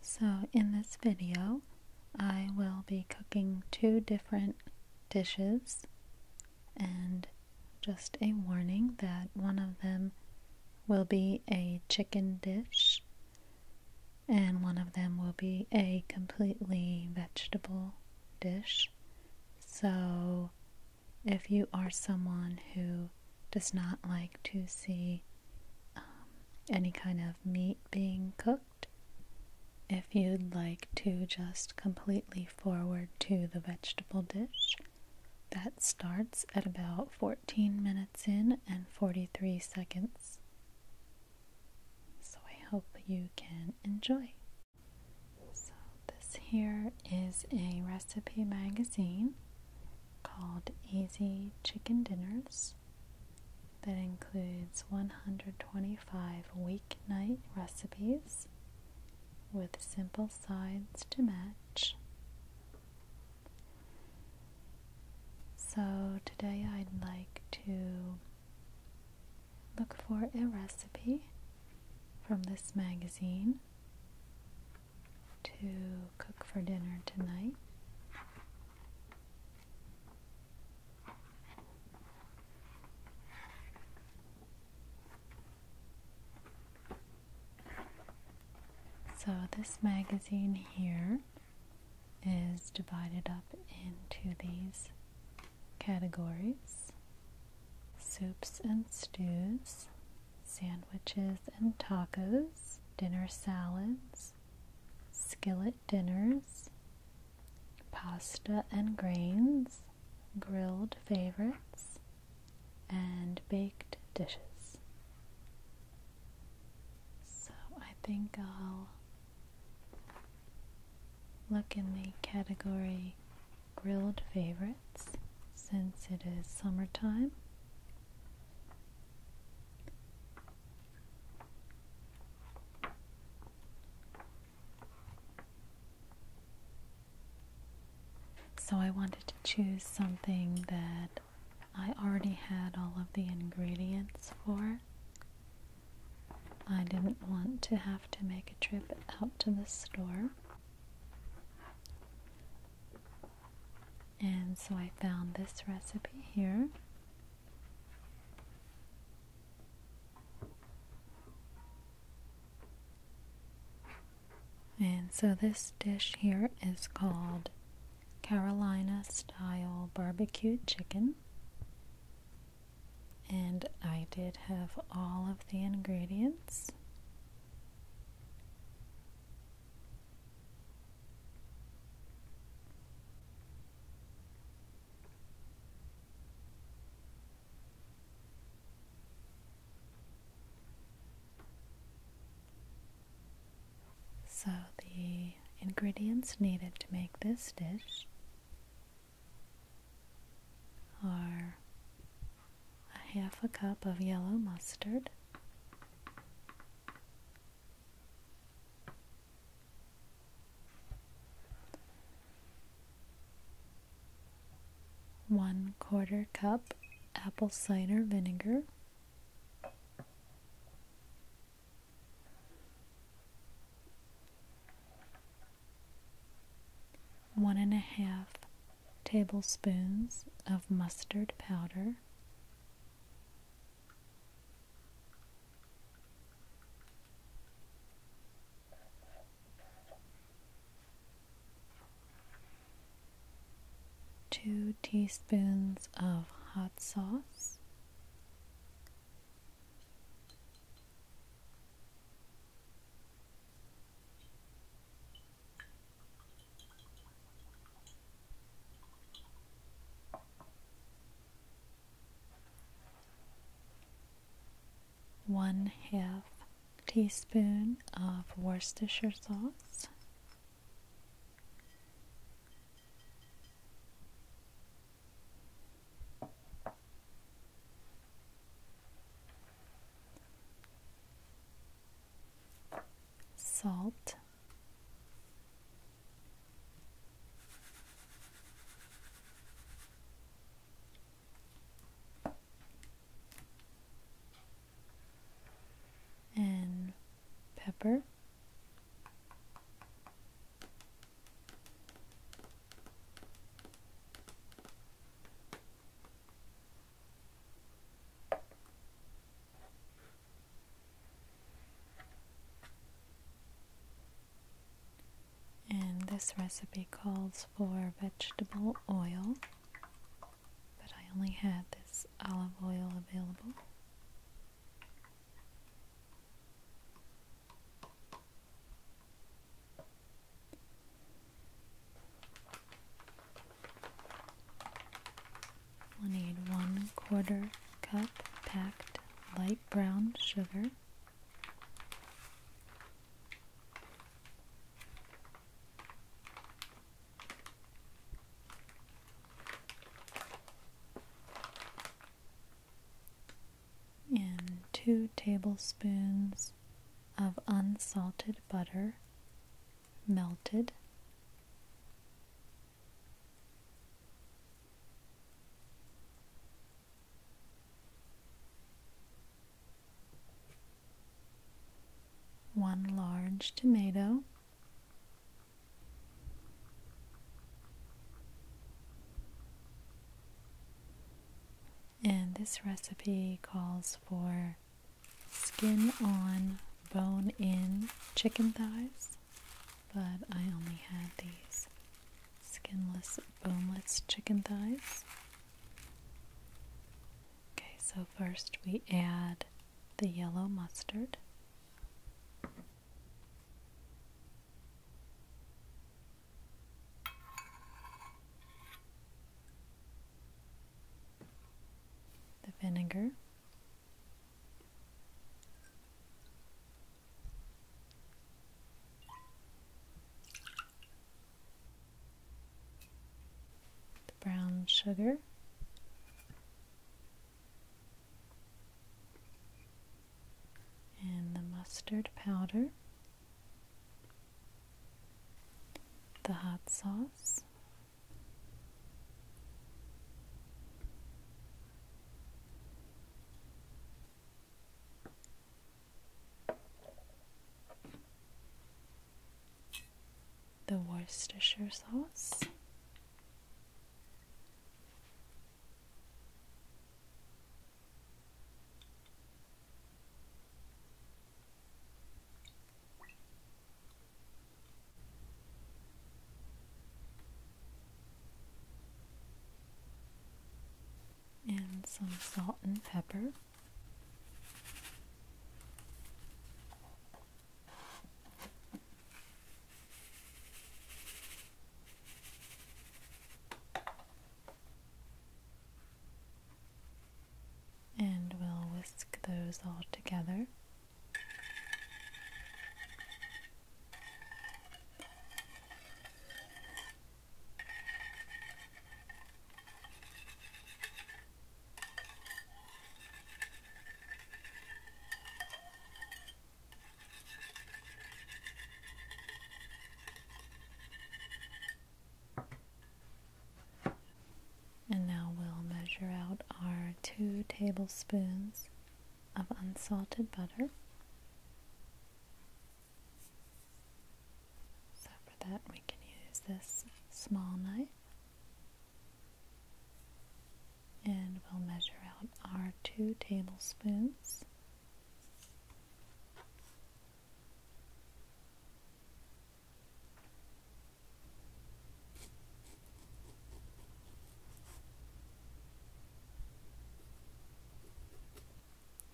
So in this video I will be cooking two different dishes and just a warning that one of them will be a chicken dish and one of them will be a completely vegetable dish. So if you are someone who does not like to see um, any kind of meat being cooked. If you'd like to just completely forward to the vegetable dish, that starts at about 14 minutes in and 43 seconds. So I hope you can enjoy. So, this here is a recipe magazine called Easy Chicken Dinners that includes 125 weeknight recipes with simple sides to match. So, today I'd like to look for a recipe from this magazine to cook for dinner tonight. So, this magazine here is divided up into these categories soups and stews, sandwiches and tacos, dinner salads, skillet dinners, pasta and grains, grilled favorites, and baked dishes. So I think I'll look in the category grilled favorites since it is summertime so I wanted to choose something that I already had all of the ingredients for. I didn't want to have to make a trip out to the store. And so I found this recipe here. And so this dish here is called Carolina style barbecue chicken. And I did have all of the ingredients. So, the ingredients needed to make this dish are a half a cup of yellow mustard, one quarter cup apple cider vinegar. One and a half tablespoons of mustard powder. Two teaspoons of hot sauce, one half teaspoon of Worcestershire sauce, salt, and pepper. And this recipe calls for vegetable oil, but I only had this olive oil available. We'll need one quarter cup packed light brown sugar. And two tablespoons of unsalted butter melted one large tomato, and this recipe calls for skin on, bone in chicken thighs but I only had these skinless, boneless chicken thighs. Okay, so first we add the yellow mustard. The vinegar the brown sugar. And the mustard powder, the hot sauce, the Worcestershire sauce and some salt and pepper. And we'll whisk those all together. And now we'll measure out our two tablespoons of unsalted butter. So for that we can use this small knife and we'll measure out our two tablespoons.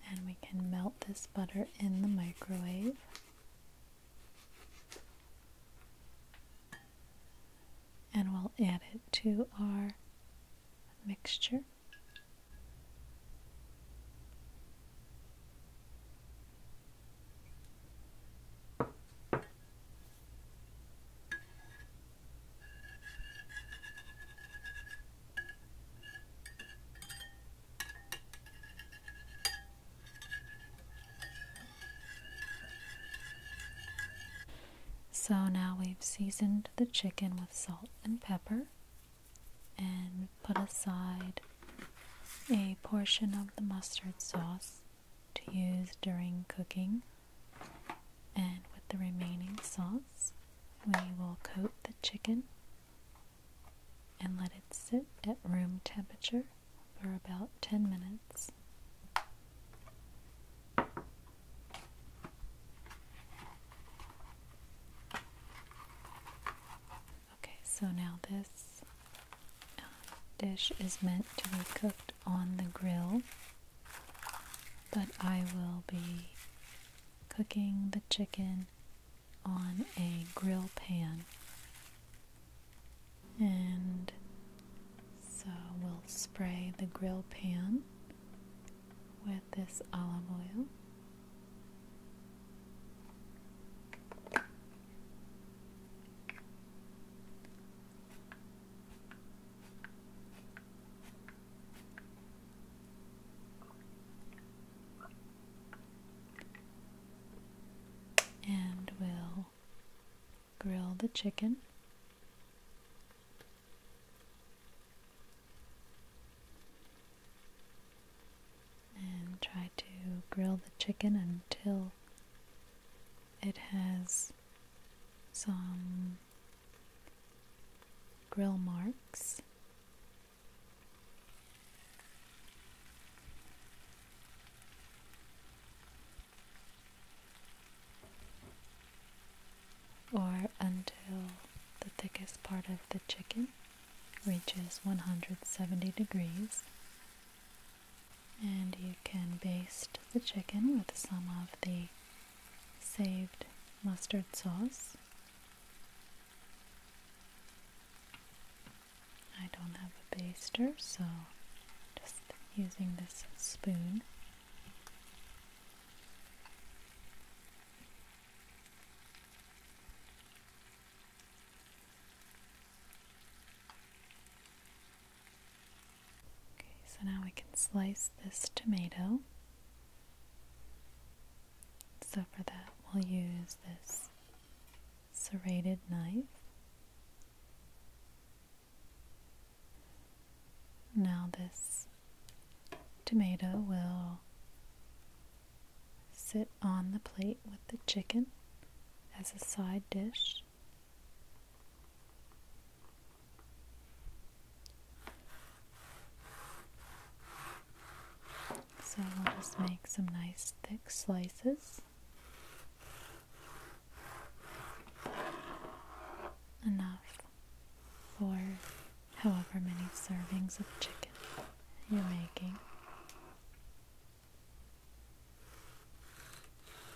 And we can melt this butter in the microwave. And we'll add it to our mixture. So now we've seasoned the chicken with salt and pepper and put aside a portion of the mustard sauce to use during cooking. And with the remaining sauce, we will coat the chicken and let it sit at room temperature for about 10 minutes. Okay, so now this uh, dish is meant to be cooked on the grill, but I will be cooking the chicken on a grill pan. And so we'll spray the grill pan with this olive oil. And we'll grill the chicken. And try to grill the chicken until it has some grill marks. or until the thickest part of the chicken reaches 170 degrees. And you can baste the chicken with some of the saved mustard sauce. I don't have a baster, so just using this spoon. Okay, so now we can slice this tomato. So for that, we'll use this serrated knife. Now this tomato will sit on the plate with the chicken as a side dish. So we'll just make some nice thick slices. Enough for however many servings of chicken you're making.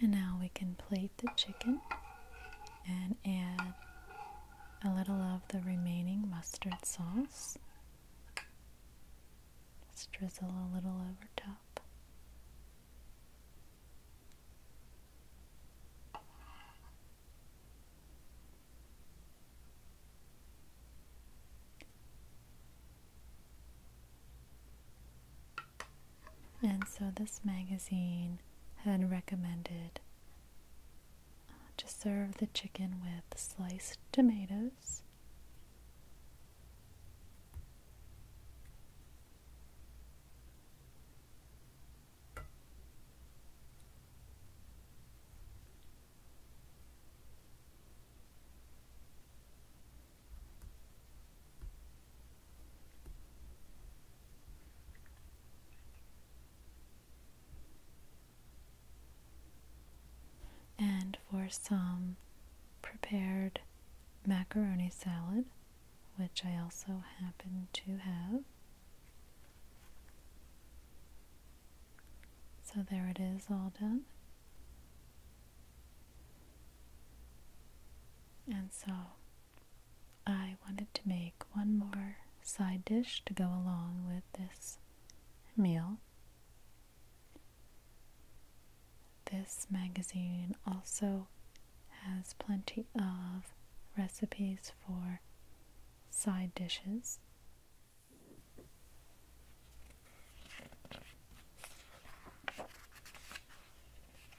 And now we can plate the chicken and add a little of the remaining mustard sauce. Just drizzle a little over top. And so this magazine had recommended uh, to serve the chicken with sliced tomatoes. And for some prepared macaroni salad, which I also happen to have. So there it is all done. And so I wanted to make one more side dish to go along with this meal. This magazine also has plenty of recipes for side dishes.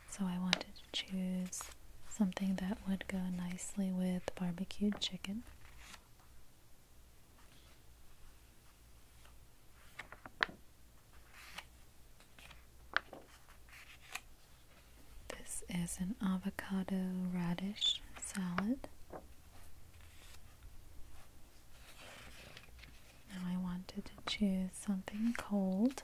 So I wanted to choose something that would go nicely with barbecued chicken. This is an avocado radish salad. Now I wanted to choose something cold.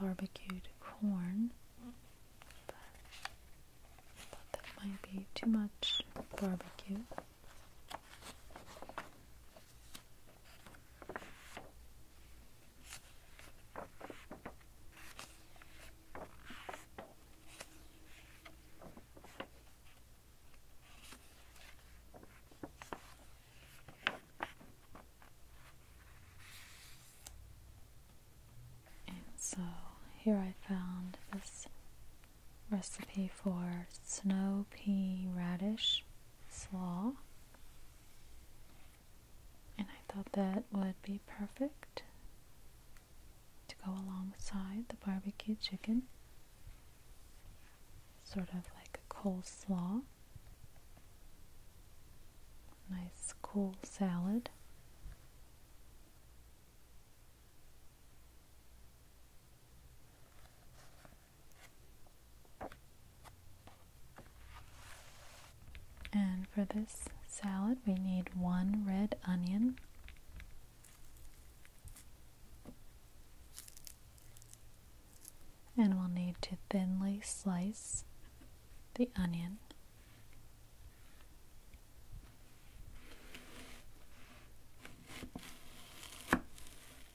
barbecued corn, but that might be too much barbecue. And so here I found this recipe for snow pea radish slaw. And I thought that would be perfect to go alongside the barbecue chicken. Sort of like a coleslaw. Nice cool salad. And for this salad, we need one red onion, and we'll need to thinly slice the onion.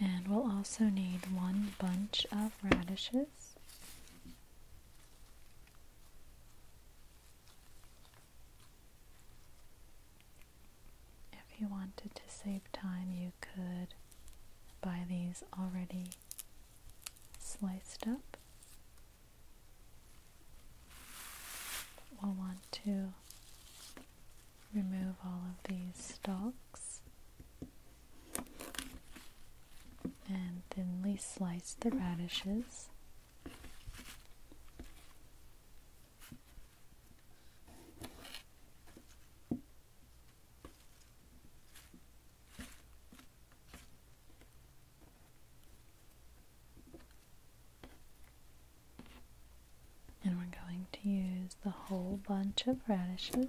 And we'll also need one bunch of radishes. If you wanted to save time, you could buy these already sliced up. We'll want to remove all of these stalks and thinly slice the radishes. And we're going to use the whole bunch of radishes.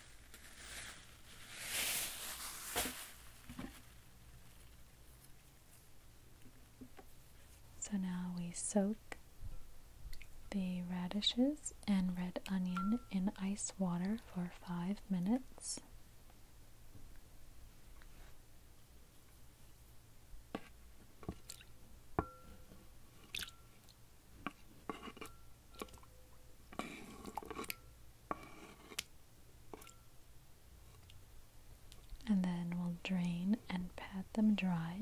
So now we soak the radishes and red onion in ice water for five minutes. And then we'll drain and pat them dry.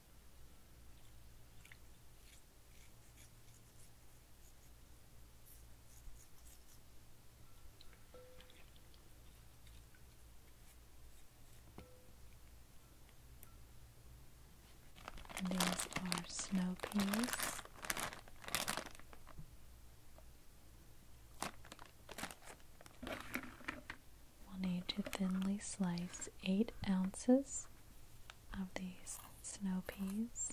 These are snow peas. We'll need to thinly slice eight ounces of these snow peas.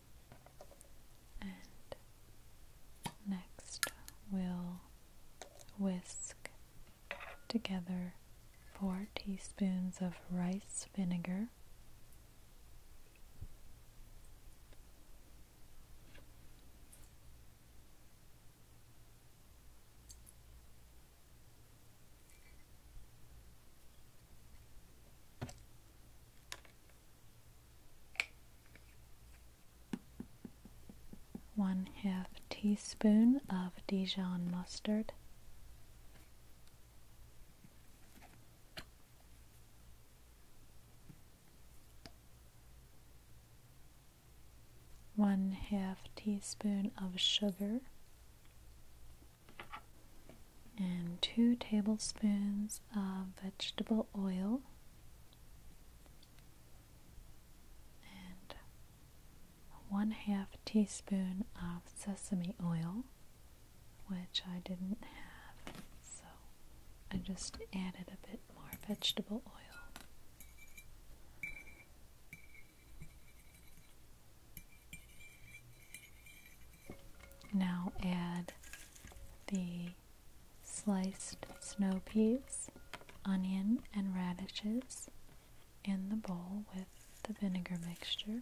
next we'll whisk together 4 teaspoons of rice vinegar one half teaspoon of Dijon mustard, one half teaspoon of sugar, and two tablespoons of vegetable oil and one half teaspoon of sesame oil, which I didn't have, so I just added a bit more vegetable oil. Now add the sliced snow peas, onion, and radishes in the bowl with the vinegar mixture.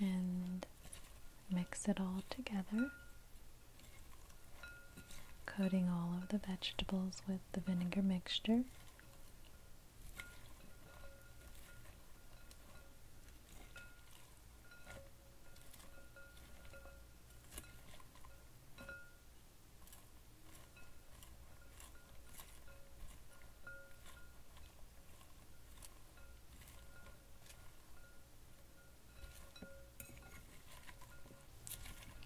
and mix it all together, coating all of the vegetables with the vinegar mixture.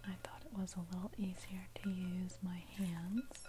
I thought it was a little easier to use my hands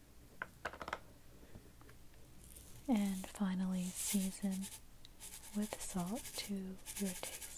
And finally, season with salt to your taste.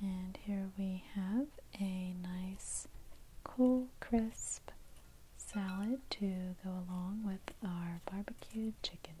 And here we have a nice cool, crisp salad to go along with our barbecued chicken.